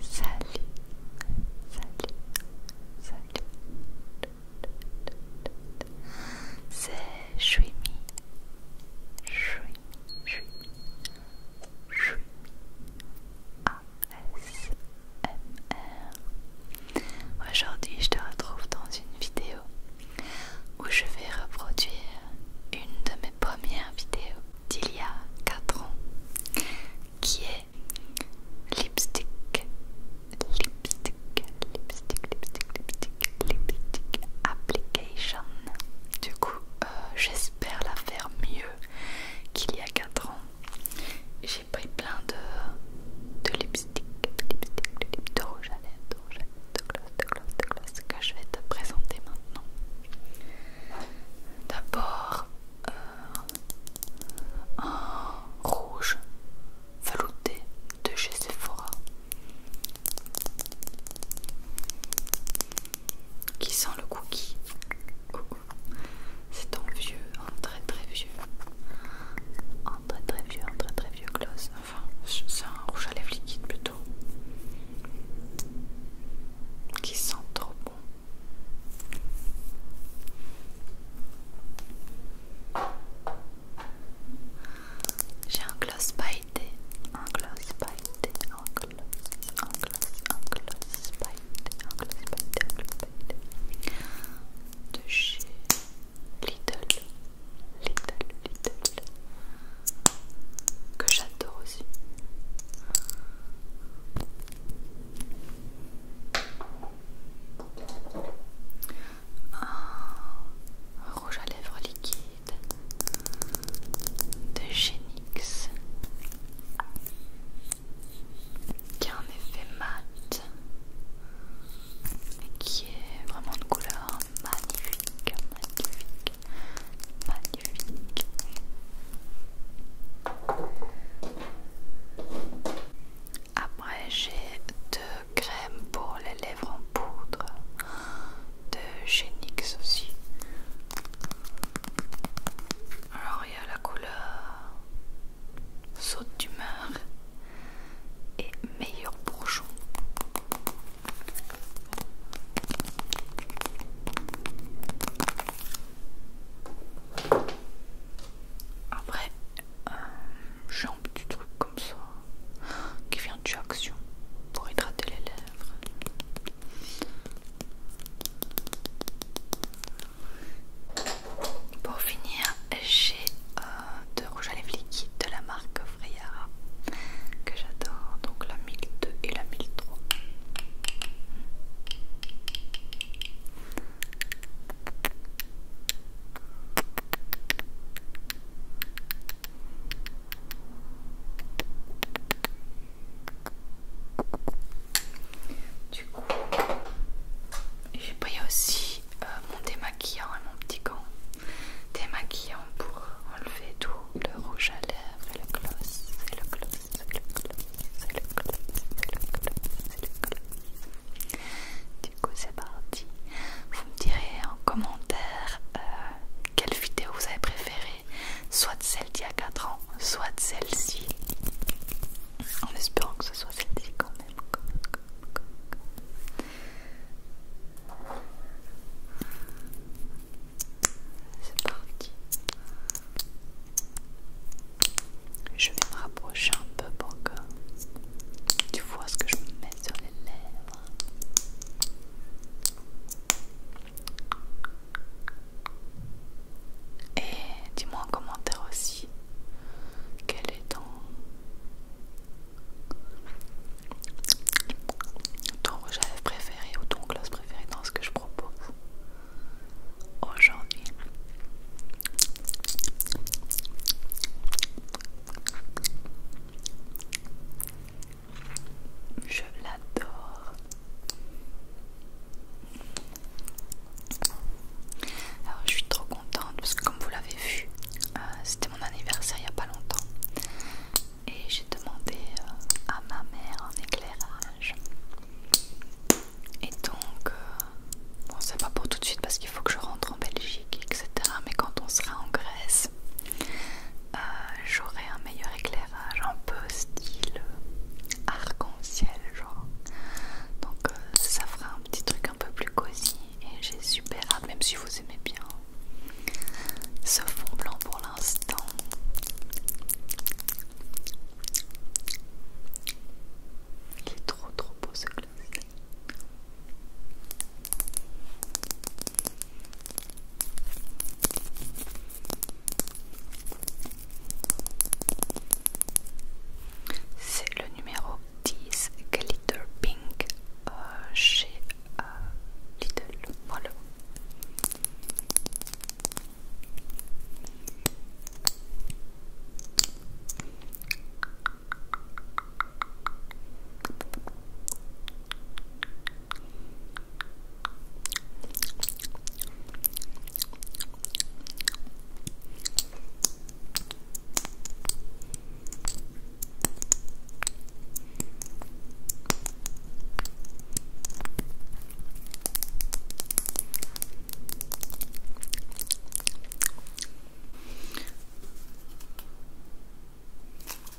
Salut, salut, salut. C'est Shuimi, Shuimi, Shuimi, Shuimi, Aujourd'hui, je te retrouve dans une vidéo où je vais reproduire une de mes premières vidéos d'il y a 4 ans qui est lipstick, lipstick, lipstick, lipstick, lipstick, lipstick application. Du coup, euh, j'espère la faire mieux qu'il y a 4 ans. J'ai pris plein de, de lipstick, de lipstick, de lip, de rouge à lèvres, de rouge à lèvres, de gloss, que je vais te présenter maintenant. D'abord un rouge velouté de chez Sephora qui sent le cookie. C'est un vieux, un très très vieux, un très très vieux, un très très vieux gloss Enfin, c'est un rouge à lèvres liquide plutôt. Qui sent trop bon. J'ai un gloss pailleté, un gloss pailleté, un gloss, un gloss, un gloss pailleté, un gloss pailleté, un gloss pailleté de chez little Little que j'adore aussi. Un rouge à lèvres liquide de Genix qui a un effet mat et qui est vraiment de couleur magnifique magnifique, magnifique. Après, j'ai deux crèmes pour les lèvres en poudre de chez aussi. Alors, il y a la couleur saute d'humeur et meilleur bourgeon. Après, euh, j'ai un petit truc comme ça qui vient de Action pour hydrater les lèvres. Pour finir, j'ai euh, de rouge à lèvres liquides de la marque Freyara que j'adore, donc la 1002 et la 1003. Du coup, j'ai pris aussi euh, mon démaquillant et mon petit gant démaquillant pour enlever tout le rouge à lèvres et le gloss, et le gloss, et le gloss, et le gloss, et le gloss, et le gloss. Du coup, c'est parti. Vous me direz en commentaire euh, quelle vidéo vous avez préférée, soit celle d'il y a 4 ans, soit celle-ci. En espérant que ce soit celle-ci quand même. C'est parti. Je vais me rapprocher un peu pour que tu vois ce que je me mets sur les lèvres. Et dis-moi en commentaire aussi quel est ton ton rouge préféré ou ton gloss préféré dans ce que je propose aujourd'hui. Je l'adore. Alors je suis trop contente parce que comme vous vu, euh, c'était mon anniversaire il n'y a pas longtemps. Et j'ai demandé euh, à ma mère un éclairage. Et donc, euh, bon, c'est pas pour tout de suite parce qu'il faut que je rentre en Belgique, etc. Mais quand on sera en Grèce, j'aurai un meilleur éclairage, un peu style arc-en-ciel, genre. Donc, ça fera un petit truc un peu plus cosy et j'ai super hâte, même si vous aimez bien ce fond blanc pour l'instant. Il est trop trop beau ce glacé. C'est le numéro this glitter pink she euh, chez uh, Lidl.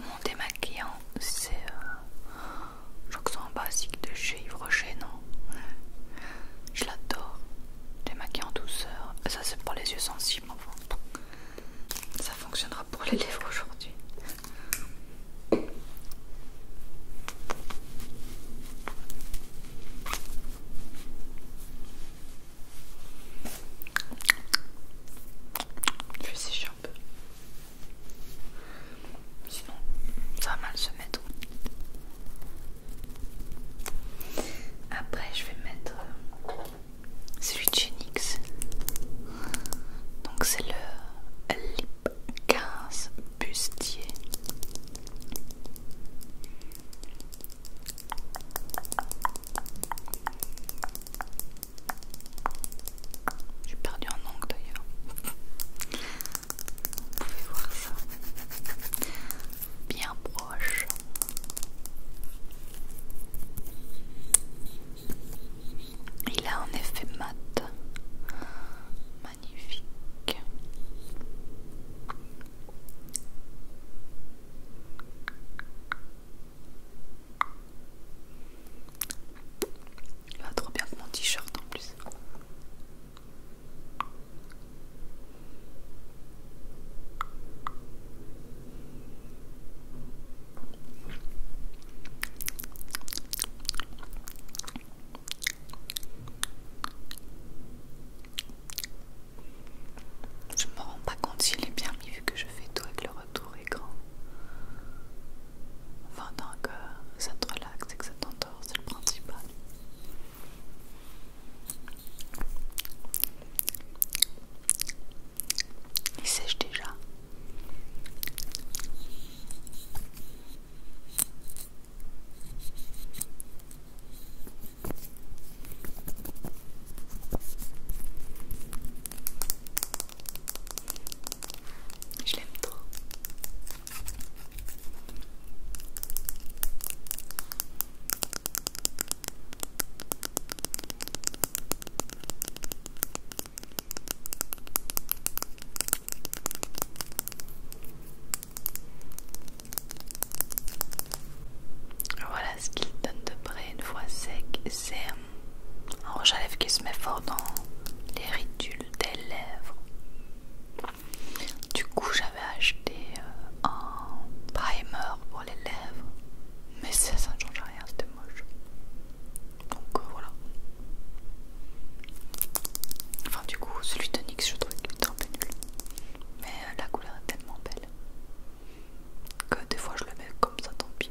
Mon démaquillant, c'est. Euh, je crois un basique de chez Yves Rocher, non Je l'adore. Démaquillant douceur. Ça, c'est pour les yeux sensibles. Ça fonctionnera pour les livres aujourd'hui. Je vais sécher un peu. Sinon, ça va mal se mettre. Après, je vais mettre euh, celui de chez Donc, c'est le Lip 15 Bustier. J'ai perdu un ongle d'ailleurs. Vous pouvez voir ça bien proche. Il a un effet mat magnifique. Il va trop bien que mon t-shirt en plus. Je me rends pas compte s'il est bien mis vu que je fais tout avec le retour écran. Enfin, tant que ça te relaxe et que ça t'endort, c'est le principal. Il sèche déjà. Je l'aime trop. Voilà ce qu'il donne de près une fois sec. C'est un rouge à lèvres qui se met fort dans les ridules des lèvres. Du coup, j'avais acheté euh, un primer pour les lèvres, mais ça, ne change rien, c'était moche. Donc euh, voilà. Enfin, du coup, celui de NYX, je trouvais qu'il était un peu nul, mais euh, la couleur est tellement belle que des fois je le mets comme ça, tant pis.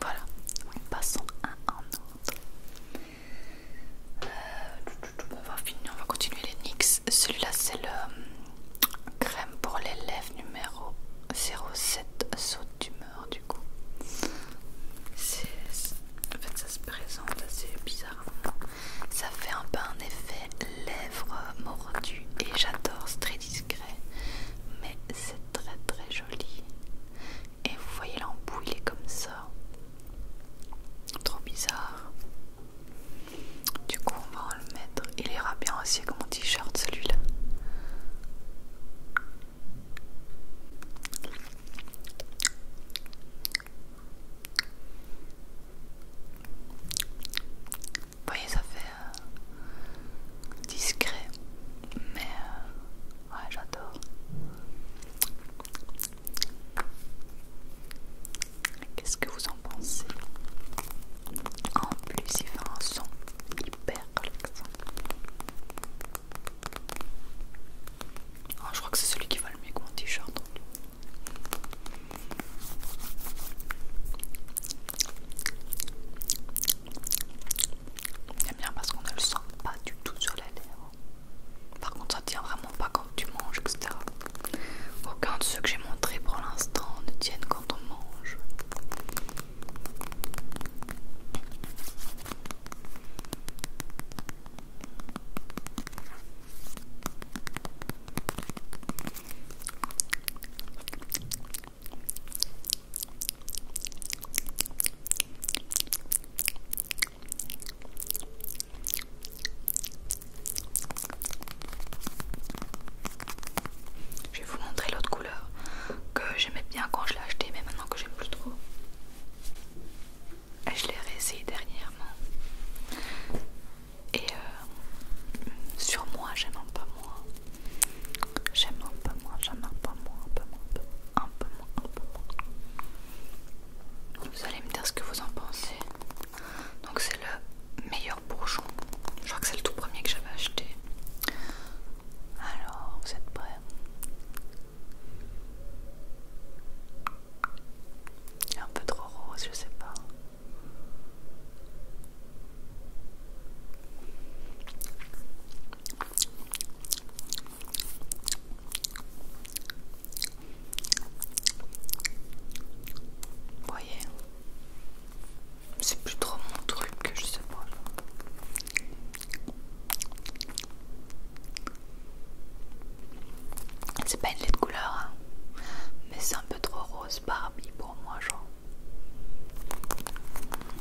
Voilà, passons un en autre. Euh, on va finir, on va continuer les NYX. Celui-là, c'est le euh, crème pour les lèvres numéro 07 saut d'humeur. Du coup, en fait, ça se présente assez bizarrement. Ça fait un peu un effet lèvres mordu et j'adore, c'est très discret, mais c'est très très joli. Et vous voyez l'embout, il est comme ça. Trop bizarre. Du coup, on va en le mettre. Il ira bien aussi avec mon t-shirt celui-là. Vous voyez, ça fait euh, discret, mais euh, ouais, j'adore. Qu'est-ce que vous en pensez En plus, il fait un son hyper relaxant. Oh, je crois que c'est celui qui va le mieux avec mon t-shirt. Hein. J'aime bien parce qu'on ne le sent pas du tout sur la lèvres Par contre, ça tient vraiment pas quand tu manges, etc. Aucun de ceux que j'ai montrés pour l'instant ne tiennent quand on mange. Je vais vous montrer l'autre couleur que j'aimais bien quand je l'ai acheté, mais maintenant que j'aime plus trop. Et je l'ai réessayé dernièrement. Et euh, sur moi, j'aime un peu moins. J'aime un peu moins, j'aime un peu moins, un peu moins, un peu moins, un peu moins. Vous allez me dire ce que vous en pensez. Donc c'est le meilleur bourgeon. Je crois que c'est le tout premier que j'avais acheté. Alors, vous êtes prêts un peu trop rose, je sais pas voyez, c'est plus trop mon truc que je sais pas. C'est pas une lait de couleur, hein. mais c'est un peu trop rose Barbie pour moi, genre.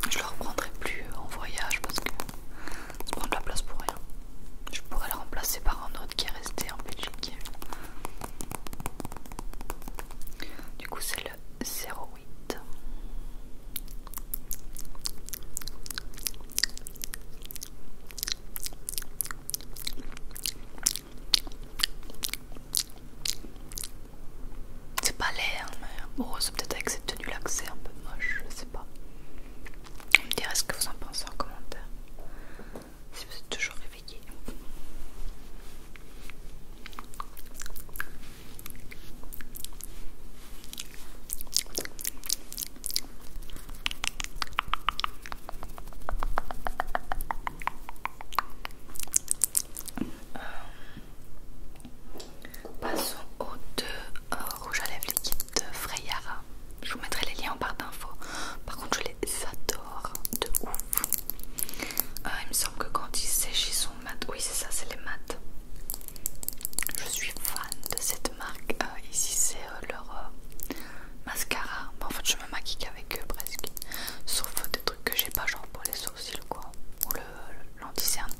Je le reprendrai plus euh, en voyage parce que ça prend de la place pour rien. Je pourrais le remplacer par un autre qui est resté en Belgique. Du coup, c'est le 08. C'est pas l'air, mais bon, c'est peut-être avec cette tenue là que c'est un peu moche, je sais pas. Vous me direz ce que vous en pensez en commentaire. Si vous êtes toujours réveillé. Euh, passons aux deux euh, rouges à lèvres liquides Freyara. Je vous mettrai les liens en barre d'infos. Par contre, je les adore de ouf. Euh, il me semble que quand ils sèchent, ils sont mat. Oui, c'est ça, c'est les mat. Je suis fan de cette marque. ici, c'est euh, leur euh, mascara. en fait, je me maquille avec eux presque. Sauf euh, des trucs que j'ai pas, genre pour les sourcils ou quoi, ou l'anticerne.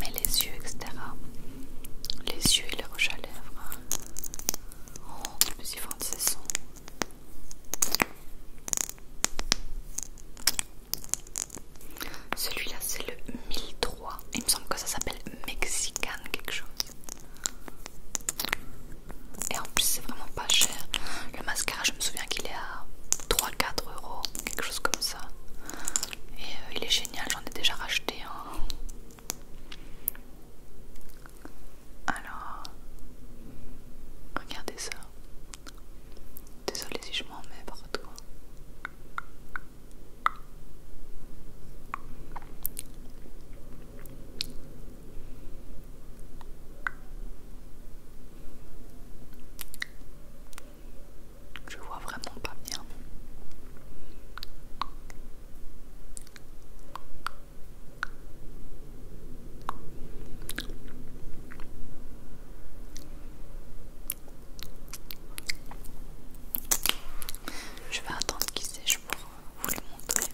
Mais les yeux, etc. Les yeux et les roches à lèvres. Oh, Celui-là, c'est le 1003. Il me semble que ça s'appelle Mexican quelque chose. Et en plus, c'est vraiment pas cher. Le mascara, je me souviens qu'il est à 3-4 euros, quelque chose comme ça. Et euh, il est génial, j'en ai déjà racheté un. Alors, regardez ça. Désolée si je m'en mets partout. Je vois vraiment pas bien. Je vais attendre qu'il sèche pour vous le montrer.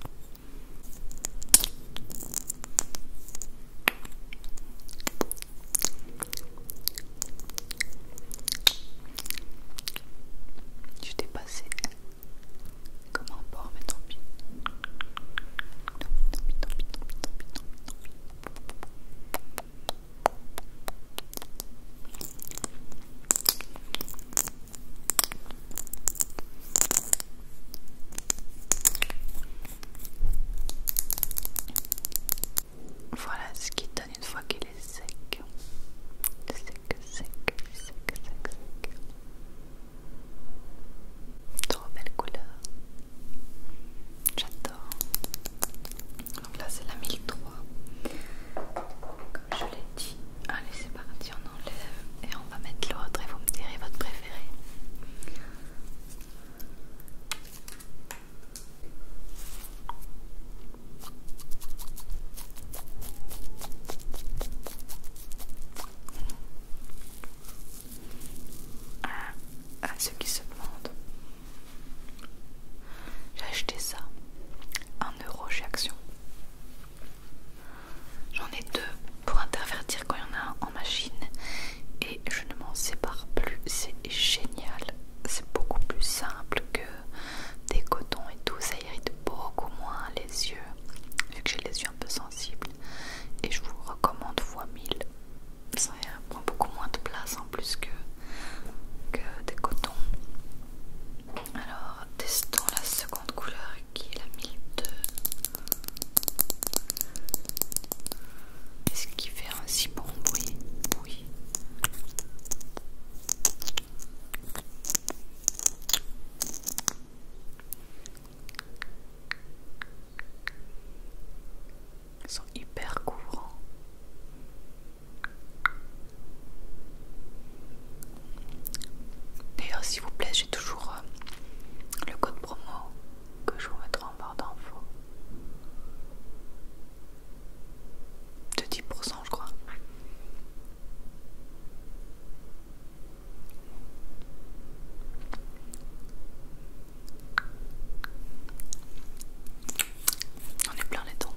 Je t'ai passé comme un mais Tant pis. Voilà ce qu'il donne une fois qu'il est sec. Sec, sec, sec, sec, sec. Trop belle couleur. J'adore. Donc là c'est la 1003. Comme je l'ai allez c'est parti on enlève et on va mettre l'autre et vous me direz votre préféré ah, à ceux qui se demandent j'ai acheté ça action. J'en ai deux pour intervertir quand il y en a en machine et je ne m'en sépare plus, c'est génial. C'est beaucoup plus simple que des cotons et tout, ça irrite beaucoup moins les yeux, vu que j'ai les yeux un peu sensibles. Et je vous recommande fois 1000. Ça prend beaucoup moins de place en plus que, que des cotons. Alors testons la seconde couleur qui est la 1002. Est-ce qu'il fait un si bon bruit Oui. Ils sont hyper courants. D'ailleurs, s'il vous plaît, j'ai toujours euh, le code promo que je vous mettrai en barre d'infos. De 10%, je crois. On est plein les temps.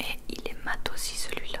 Et il est mat aussi celui-là.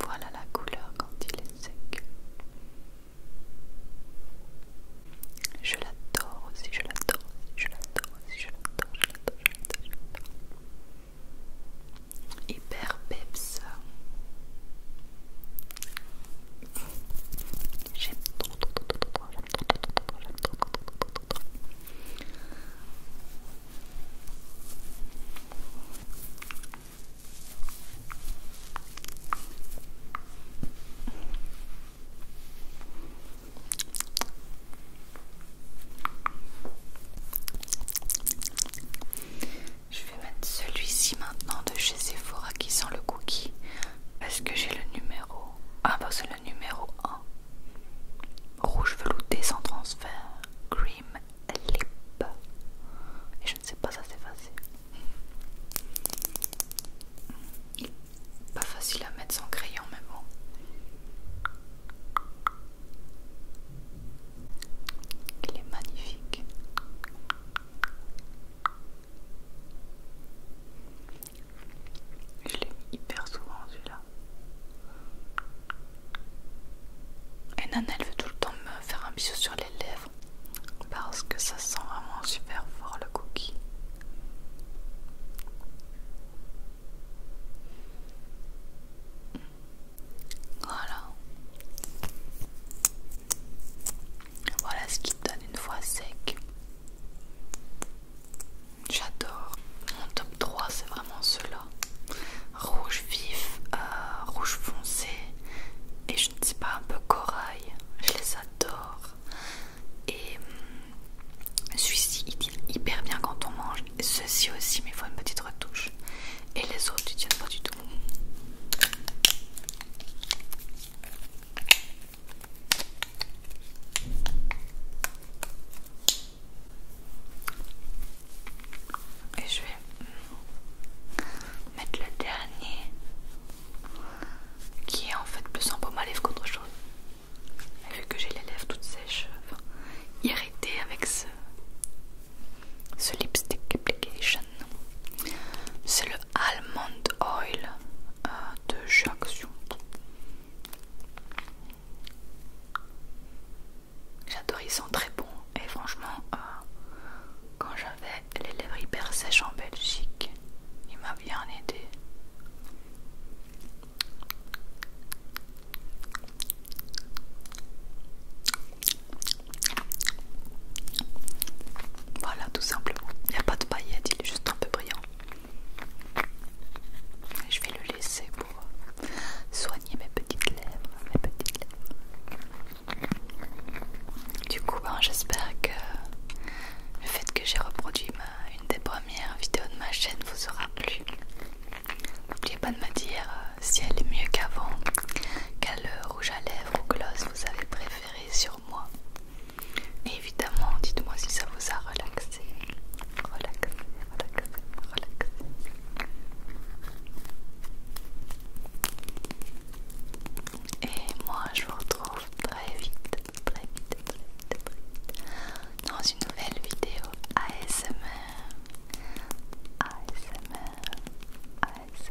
Voilà la couleur quand il est sec. Je l'adore aussi, je l'adore aussi, je l'adore aussi, je l'adore, je l'adore, je l'adore. Hyper peps. J'aime trop, trop, trop, trop, Je vais mettre celui-ci maintenant de chez Sephora qui sent le cookie. Est-ce que j'ai le numéro Ah, bah c'est le numéro 1. Rouge velouté sans transfert. Cream lip. Et je ne sais pas, ça c'est facile. Pas facile à mettre sans crayon, mais bon. Il est magnifique. Je l'ai hyper souvent celui-là. Et Nana elle veut tout le temps me faire un bisou sur les lèvres parce que ça sent vraiment super fort le cookie. Voilà. Voilà ce qui donne une fois sec. J'adore. Mon top 3, c'est vraiment cela. Rouge vif, euh, rouge foncé et je ne sais pas, un peu corail. Je les adore. Et hum, celui-ci, il tient hyper bien quand on mange. Ceci aussi, mais il faut une petite retouche. Et les autres, ils tiennent pas du tout. Et je vais mettre le dernier qui est en fait plus sympa baume à lèvres qu'autre chose. vu que j'ai les lèvres toutes sèches, irritées avec ce, ce lipstick application, c'est le Almond Oil euh, de J'adore, ils sont très bons et franchement, euh, quand j'avais les lèvres hyper sèches en Belgique, il m'a bien aidé. Voilà, tout simplement. Il n'y a pas de paillettes, il est juste un peu brillant. je vais le laisser pour soigner mes petites lèvres. Du coup, hein, j'espère que le fait que j'ai reproduit une des premières vidéos de ma chaîne vous aura plu. N'oubliez pas de me dire euh, si elle est mieux qu'avant, qu'elle rouge à lèvres ou gloss vous avez préféré sur moi. évidemment, dites-moi si ça vous a relaxé. Relaxé, relaxé, relaxé. Et moi, je vous retrouve très vite, très vite, très vite, très vite dans une nouvelle vidéo ASMR. ASMR, ASMR.